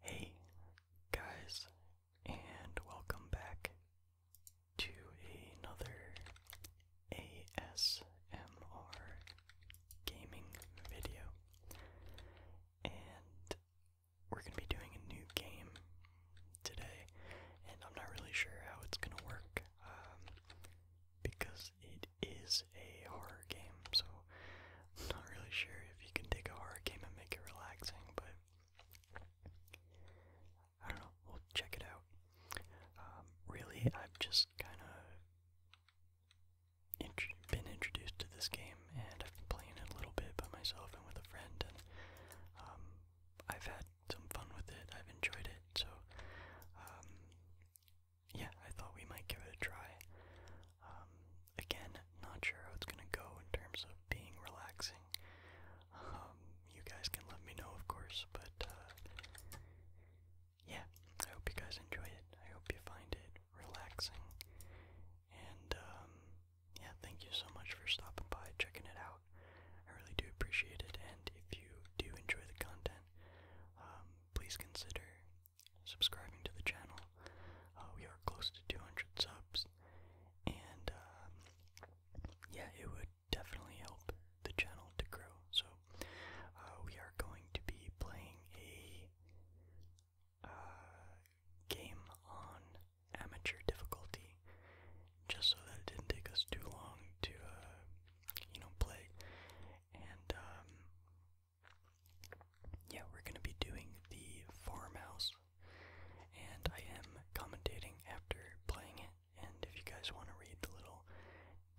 Hey guys, and welcome back to another ASMR gaming video. And we're going to be doing a new game today, and I'm not really sure how it's going to work um, because it is a horror game, so I'm not really sure if you can take a horror game and make it relaxing, but I don't know, we'll check it out. Um, really, I've just kind of been introduced to this game, and I've been playing it a little bit by myself and with a friend, and um, I've had some fun with it, I've enjoyed it, so um, yeah, I thought we might give it a try. Um, again, not sure how it's gonna go in terms of being relaxing. Um, you guys can let me know, of course, but uh, yeah, I hope you guys enjoy it. I hope you find it relaxing. And um, yeah, thank you so much for stopping by, checking it out. I really do appreciate it, and if you do enjoy the content, please consider subscribing to the channel. Uh, we are close to 200 subs, and um, yeah, it would definitely help the channel to grow. So uh, we are going to be playing a uh, game on amateur difficulty, just so that it didn't take us too long to, you know, play. And um, yeah, we're going to be doing the farmhouse, and I am commentating after playing it. And if you guys want to read the little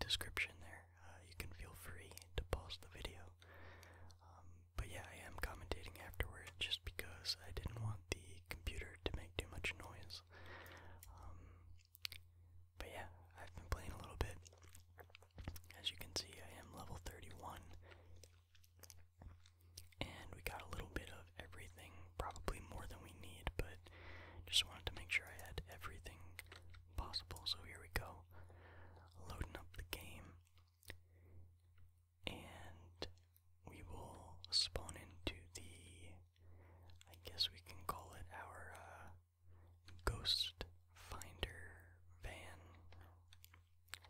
description there, uh, you can feel free to pause the video. Um, but yeah, I am commentating afterward just because I didn't want the computer to make too much noise. Um, but yeah, I've been playing a little bit. As you can see, I am level 31. And we got a little bit of everything, probably more than we need, but just wanted to make sure I had everything possible. So here we go, loading up the game. And we will spawn into the, I guess we can call it our uh, Ghost Finder van,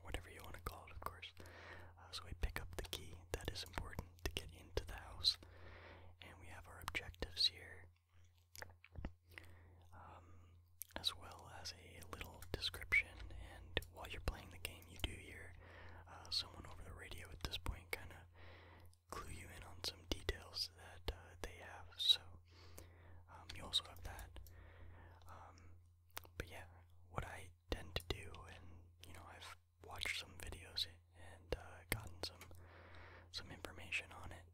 whatever you want to call it, of course. Uh, so we pick up the key, that is important to get into the house. And we have our objectives here, um, as well as a little description. And while you're playing the game, you do hear uh, someone over the radio at this point kind of clue you in on some details that uh, they have. So um, you also have that. Um, but yeah, what I tend to do, and you know, I've watched some videos and uh, gotten some some information on it.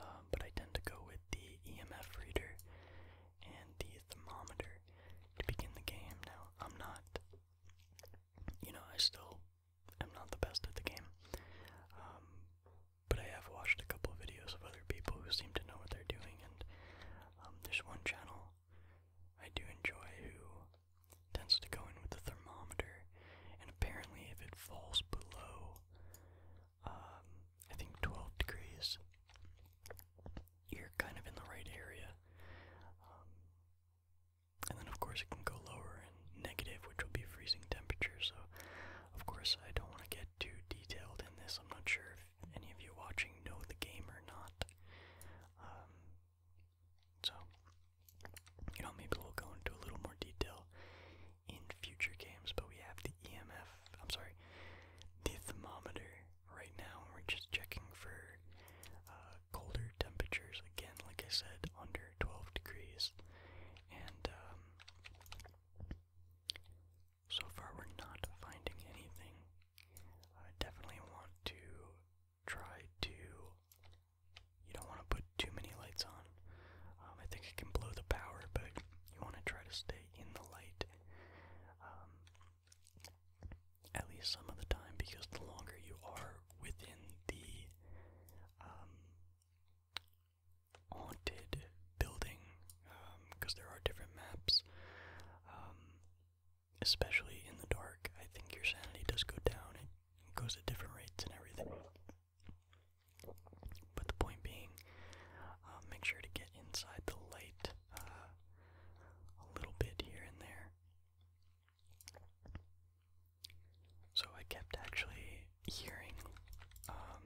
Um, but I tend to go with the EMF reader and the thermometer to begin the game. Now, I'm not, you know, I still i am not the best at the game. Um, but I have watched a couple of videos of other people who seem to know what they're doing, and um, there's one channel I do enjoy who tends to go in with the thermometer, and apparently, if it falls below, um, I think 12 degrees, you're kind of in the right area. And then, of course, it can go lower and negative, which will be freezing temperatures. So, of course, I don't want to get too detailed in this. I'm not sure if any of you watching know the game or not. Um, so, you know, maybe we'll go into a little more detail in future games. But we have the EMF, I'm sorry, the thermometer right now. We're just checking for uh, colder temperatures again, like I said, under 12 degrees. And um, so far, we're not finding anything. I definitely want to try to. You don't want to put too many lights on. Um, I think it can blow the power, but you want to try to stay in the light um, at least some of the time because the longer you are within the haunted building because um, there are different maps. Um, especially in the dark, I think your sanity does go down. It goes at different rates and everything. But the point being, uh, make sure to get inside the light uh, a little bit here and there. So I kept actually hearing um,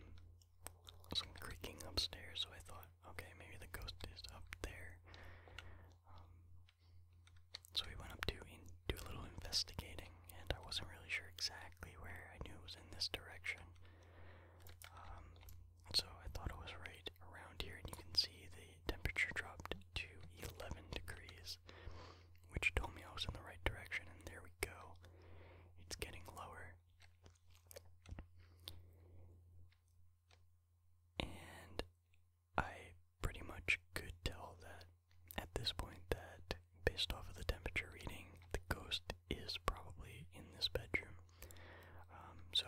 some creaking upstairs, so I thought, okay, maybe the ghost is up there. Um, so we went up to do a little investigating, and I wasn't really sure exactly where. I knew it was in this direction. Um, so I thought it was right around here, and you can see the temperature dropped to 11 degrees which told me I was in the right direction, and there we go. It's getting lower. And I pretty much could tell that at this point that based off of the temperature reading, the ghost is probably in this bedroom. Um, so,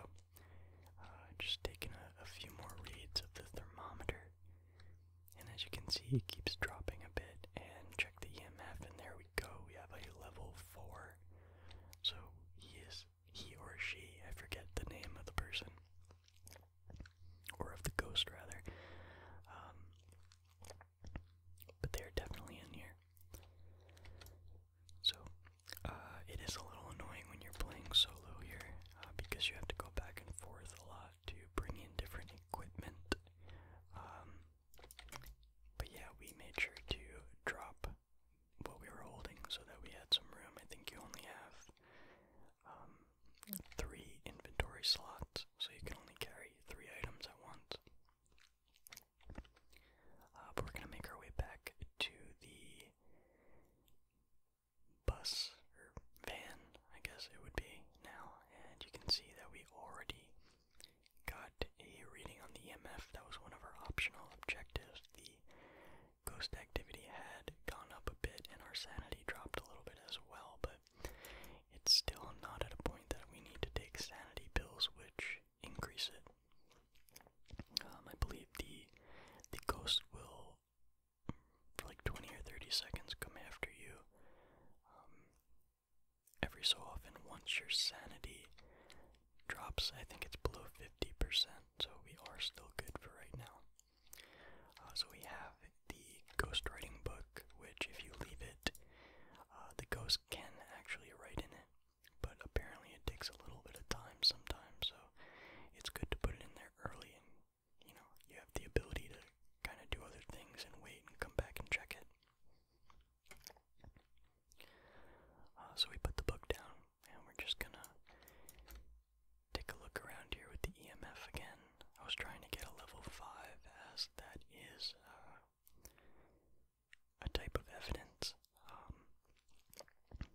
uh, just taking a few more reads of the thermometer. And as you can see, it keeps dropping a bit. And check the EMF, and there we go. We have a level 4. So he is, he or she, I forget the name of the person, or of the ghost rather. Um, but they are definitely in here. So, uh, it is a little annoying when you're playing solo here uh, because you have to go back and forth a lot to bring in different equipment. Um, but yeah, we made sure to drop what we were holding so that we had some room. I think you only have um, three inventory slots, so you can only carry three items at once. Uh, but we're gonna make our way back to the bus or van, I guess it would be now, and you can see that we already got a reading on the EMF. That was one of our optional objectives. The ghost activity had gone up a bit, and our sanity dropped a little bit as well, but it's still not at a point that we need to take sanity pills, which increase it. Um, I believe the the ghost will for like 20 or 30 seconds come after you. Um, every so often, once your sanity drops, I think it's below 50%, so we are still good for right now. Uh, so we have the ghost writing book, which if you leave it, uh, the ghost can actually write in it, but apparently it takes a little bit of time sometimes, so it's good to put it in there early you know, you have the ability to kind of do other things and wait and come back and check it. Uh, so we put the book down and we're just gonna take a look around here with the EMF again. I was trying to get a level 5 as that is uh, a type of evidence. Um,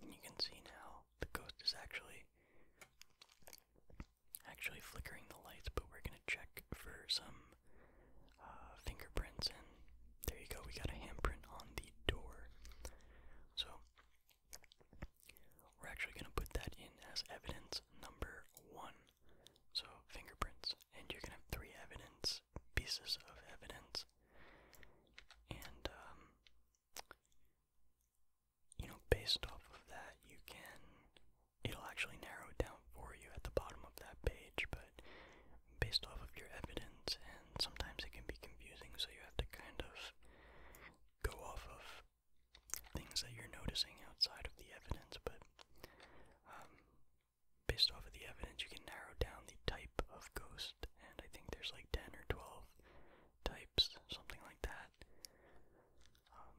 you can see now the ghost is actually actually flickering the lights, but we're gonna check for some uh, fingerprints, and there you go, we got a handprint on the door. So, we're actually gonna put that in as evidence number one. So, fingerprints, and you're gonna have three evidence pieces of evidence, and um, you know, based off of that, you can, it'll actually narrow down for you at the bottom of that page, but based off of your evidence, and sometimes it can be confusing, so you have to kind of go off of things that you're noticing outside of the evidence, but um, based off of the evidence, you can narrow down the type of ghost, and I think there's like 10 or 12 types, something like that. Um,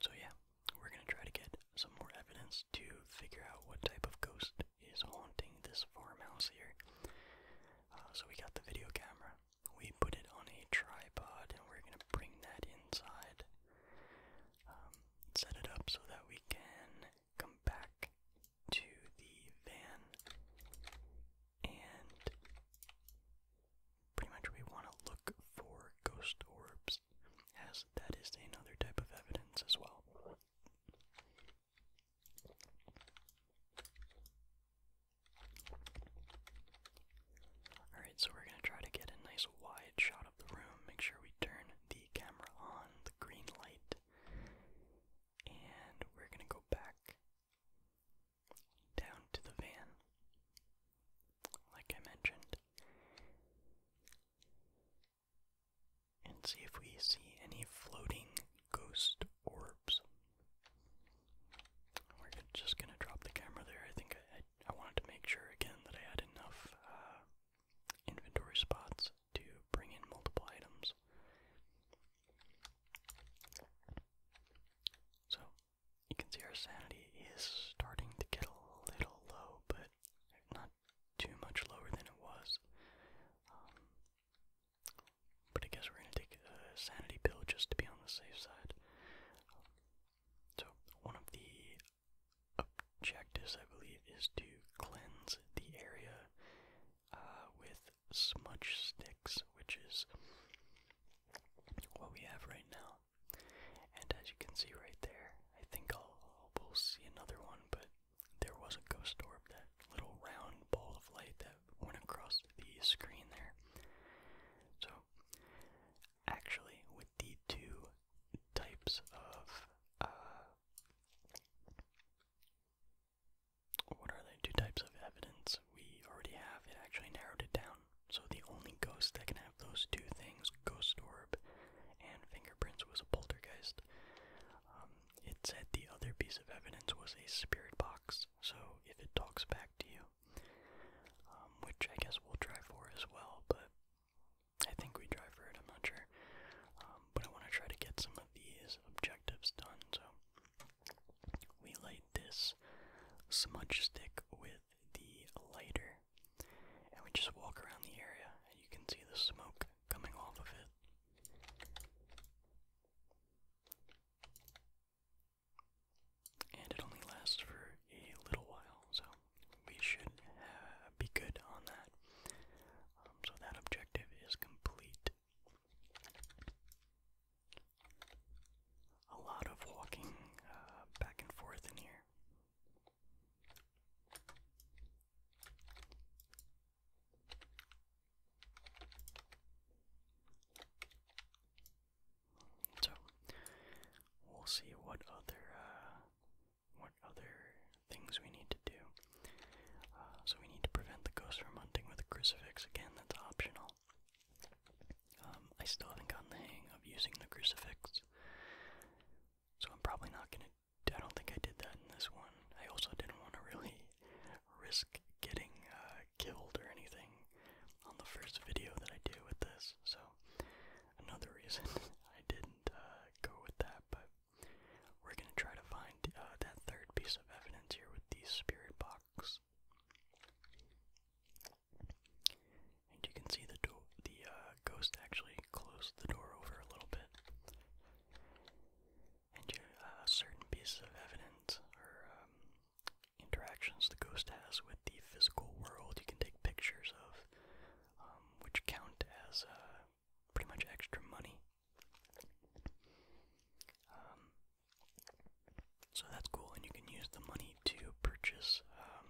so yeah, we're gonna try to get some more evidence to figure out what type of ghost is haunting this farmhouse here. Uh, so we got the video camera, we put it on a tripod, and we're gonna bring that inside, um, set it up so that we can come back to the van and pretty much we want to look for ghost orbs, as that is another type of evidence as well. Alright, so we're going to try to get a nice wide shot of the room. Make sure we turn the camera on, the green light, and we're going to go back down to the van, like I mentioned, and see if we see any floating ghost orbs. We're just gonna drop the camera there. I think I, wanted to make sure again that I had enough uh, inventory spots to bring in multiple items. So, you can see our sanity is starting to get a little low, but not too much lower than it was. Um, but I guess we're going to take a sanity pill just to be on the safe side. so, one of the objectives, I believe, is to cleanse the area uh, with smudge sticks, which is what we have right now. And as you can see right there, I think I'll, we'll see another one, but there was a ghost orb, that little round ball of light that went across the screen there. So, actually, with the two types of uh, what are the two types of evidence we already have? It actually narrowed it down. So the only ghost that can have those two things, ghost orb and fingerprints, was a poltergeist. Um, it said the other piece of evidence was a spirit box. So if it talks back to you, um, which I guess we'll try for as well, but I think we try for it. I'm not sure, um, but I want to try to get some of these objectives done. So we light this smudge stick with the lighter, and we just walk around the area, and you can see the smoke coming off of it. And it only lasts for a little while, so we should be good on that. Um, so that objective is complete a lot of walking uh, back and forth in here. So we'll see what other uh, what other things we need to do. Uh, so we need to prevent the ghost from hunting with a crucifix. Again, that's optional. Um, I still haven't gotten the hang of using the crucifix, so I'm probably not gonna. I don't think I did that in this one. I also didn't want to really risk getting uh, killed or anything on the first video that I do with this, so another reason I didn't uh, go with that. But we're gonna try to find uh, that third piece of evidence here with the spirit box. And you can see the do the uh, ghost actually closed the door over a little bit. And uh, certain pieces of evidence or um, interactions the ghost has with the physical world, you can take pictures of, um, which count as uh, pretty much extra money. Um, so that's cool, and you can use the money to purchase um,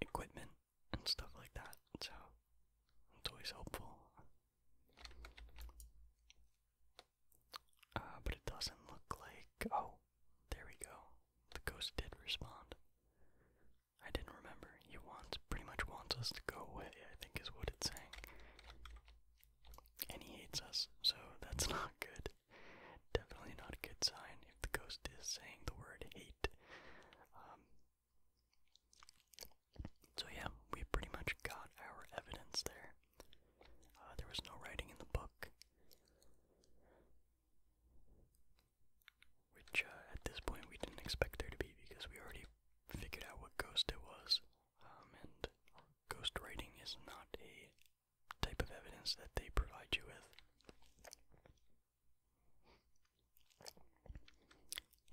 equipment and stuff like that. So it's always helpful. Uh, but it doesn't look like. Oh, there we go. The ghost did respond. I didn't remember. You want pretty much wants us to go away. I think is what it's saying and he hates us, so that's not good. Definitely not a good sign if the ghost is saying the word hate. Um, so, yeah, we pretty much got our evidence there. Uh, there was no writing in the book, which uh, at this point we didn't expect there to be because we already figured out what ghost it was um, and ghostwriting is not a type of evidence that they provide you with.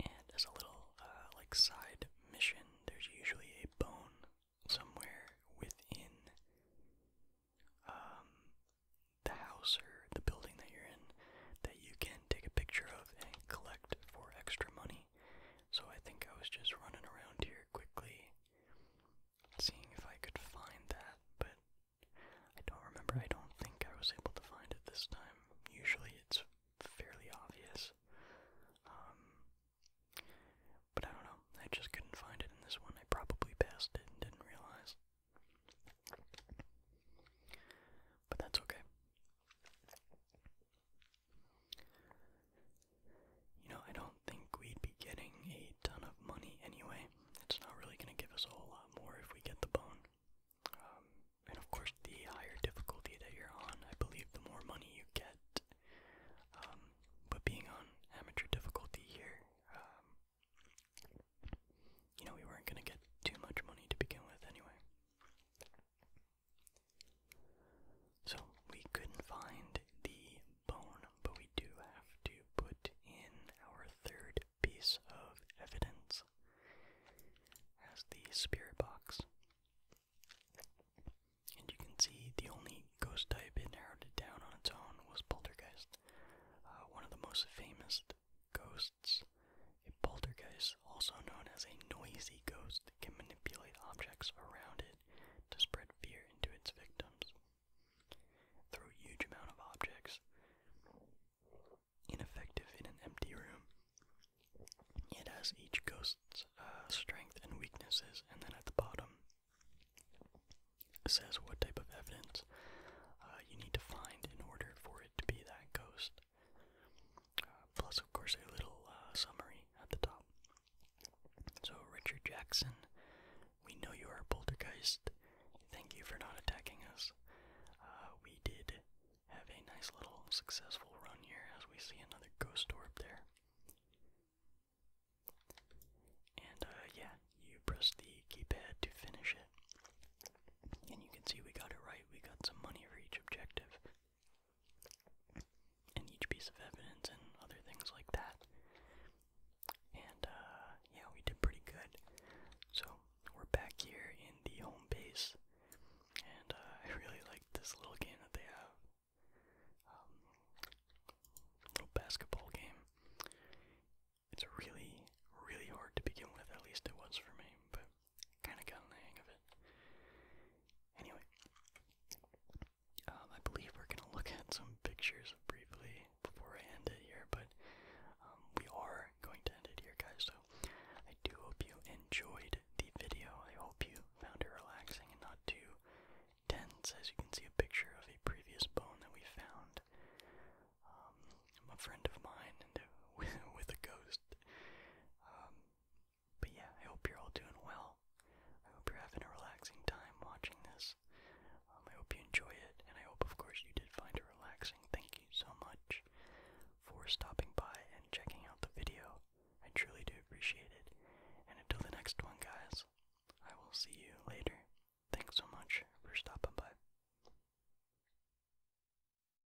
And as a little uh, like side mission, there's usually a bone somewhere within um, the house or the building that you're in that you can take a picture of and collect for extra money so I think I was just running around here quickly, seeing if I could find that, but I don't remember. I don't think I was able to find it this time. Usually it's fairly obvious. Um, but I don't know. I just couldn't find it in this one. I probably passed it and didn't realize. But that's okay. You know, I don't think we'd be getting a ton of money anyway. It's not really going to give us a whole lot more if we get the bone. Um, and of course, the higher difficulty that you're on, I believe the more money you get. Um, but being on amateur difficulty here, um, you know, we weren't going to get too much money to begin with anyway. So we couldn't find the bone, but we do have to put in our third piece of evidence as the spirit box. And you can see the only ghost type it narrowed down on its own was poltergeist, uh, one of the most famous ghosts a poltergeist, also known as a noisy ghost, can manipulate objects around it to spread fear into its victims. Throw huge amount of objects, ineffective in an empty room. It has each ghost's uh, strength and weaknesses, and then at the bottom says what type of evidence uh, you need to find in order for it to be that ghost. Uh, plus, of course, a little uh, summary at the top. So, Richard Jackson, we know you are a Thank you for not attacking us. Uh, we did have a nice little successful run here as we see another ghost orb there. And yeah, you press the keypad to finish it. And you can see we got it right. We got some money for each objective and each piece of evidence and other things like that. And uh, yeah, we did pretty good. So we're back here in the home base, and uh, I really like this little game that they have. Um, little basketball game. It's really, really hard to begin with. At least it was for me, but kind of gotten the hang of it. Anyway, um, I believe we're gonna look at some pictures briefly before I end it here, but um, we are going to end it here, guys. So I do hope you enjoyed the video. I hope you found it relaxing and not too dense. As you can see, a picture of a previous bone that we found. Um, a friend of mine with a ghost. But yeah, I hope you're all doing well. I hope you're having a relaxing time watching this. Um, I hope you enjoy it, and I hope, of course, you did find it relaxing. Thank you so much for stopping by and checking out the video. I truly do appreciate it. And until the next one, guys, I will see you later. Thanks so much for stopping by.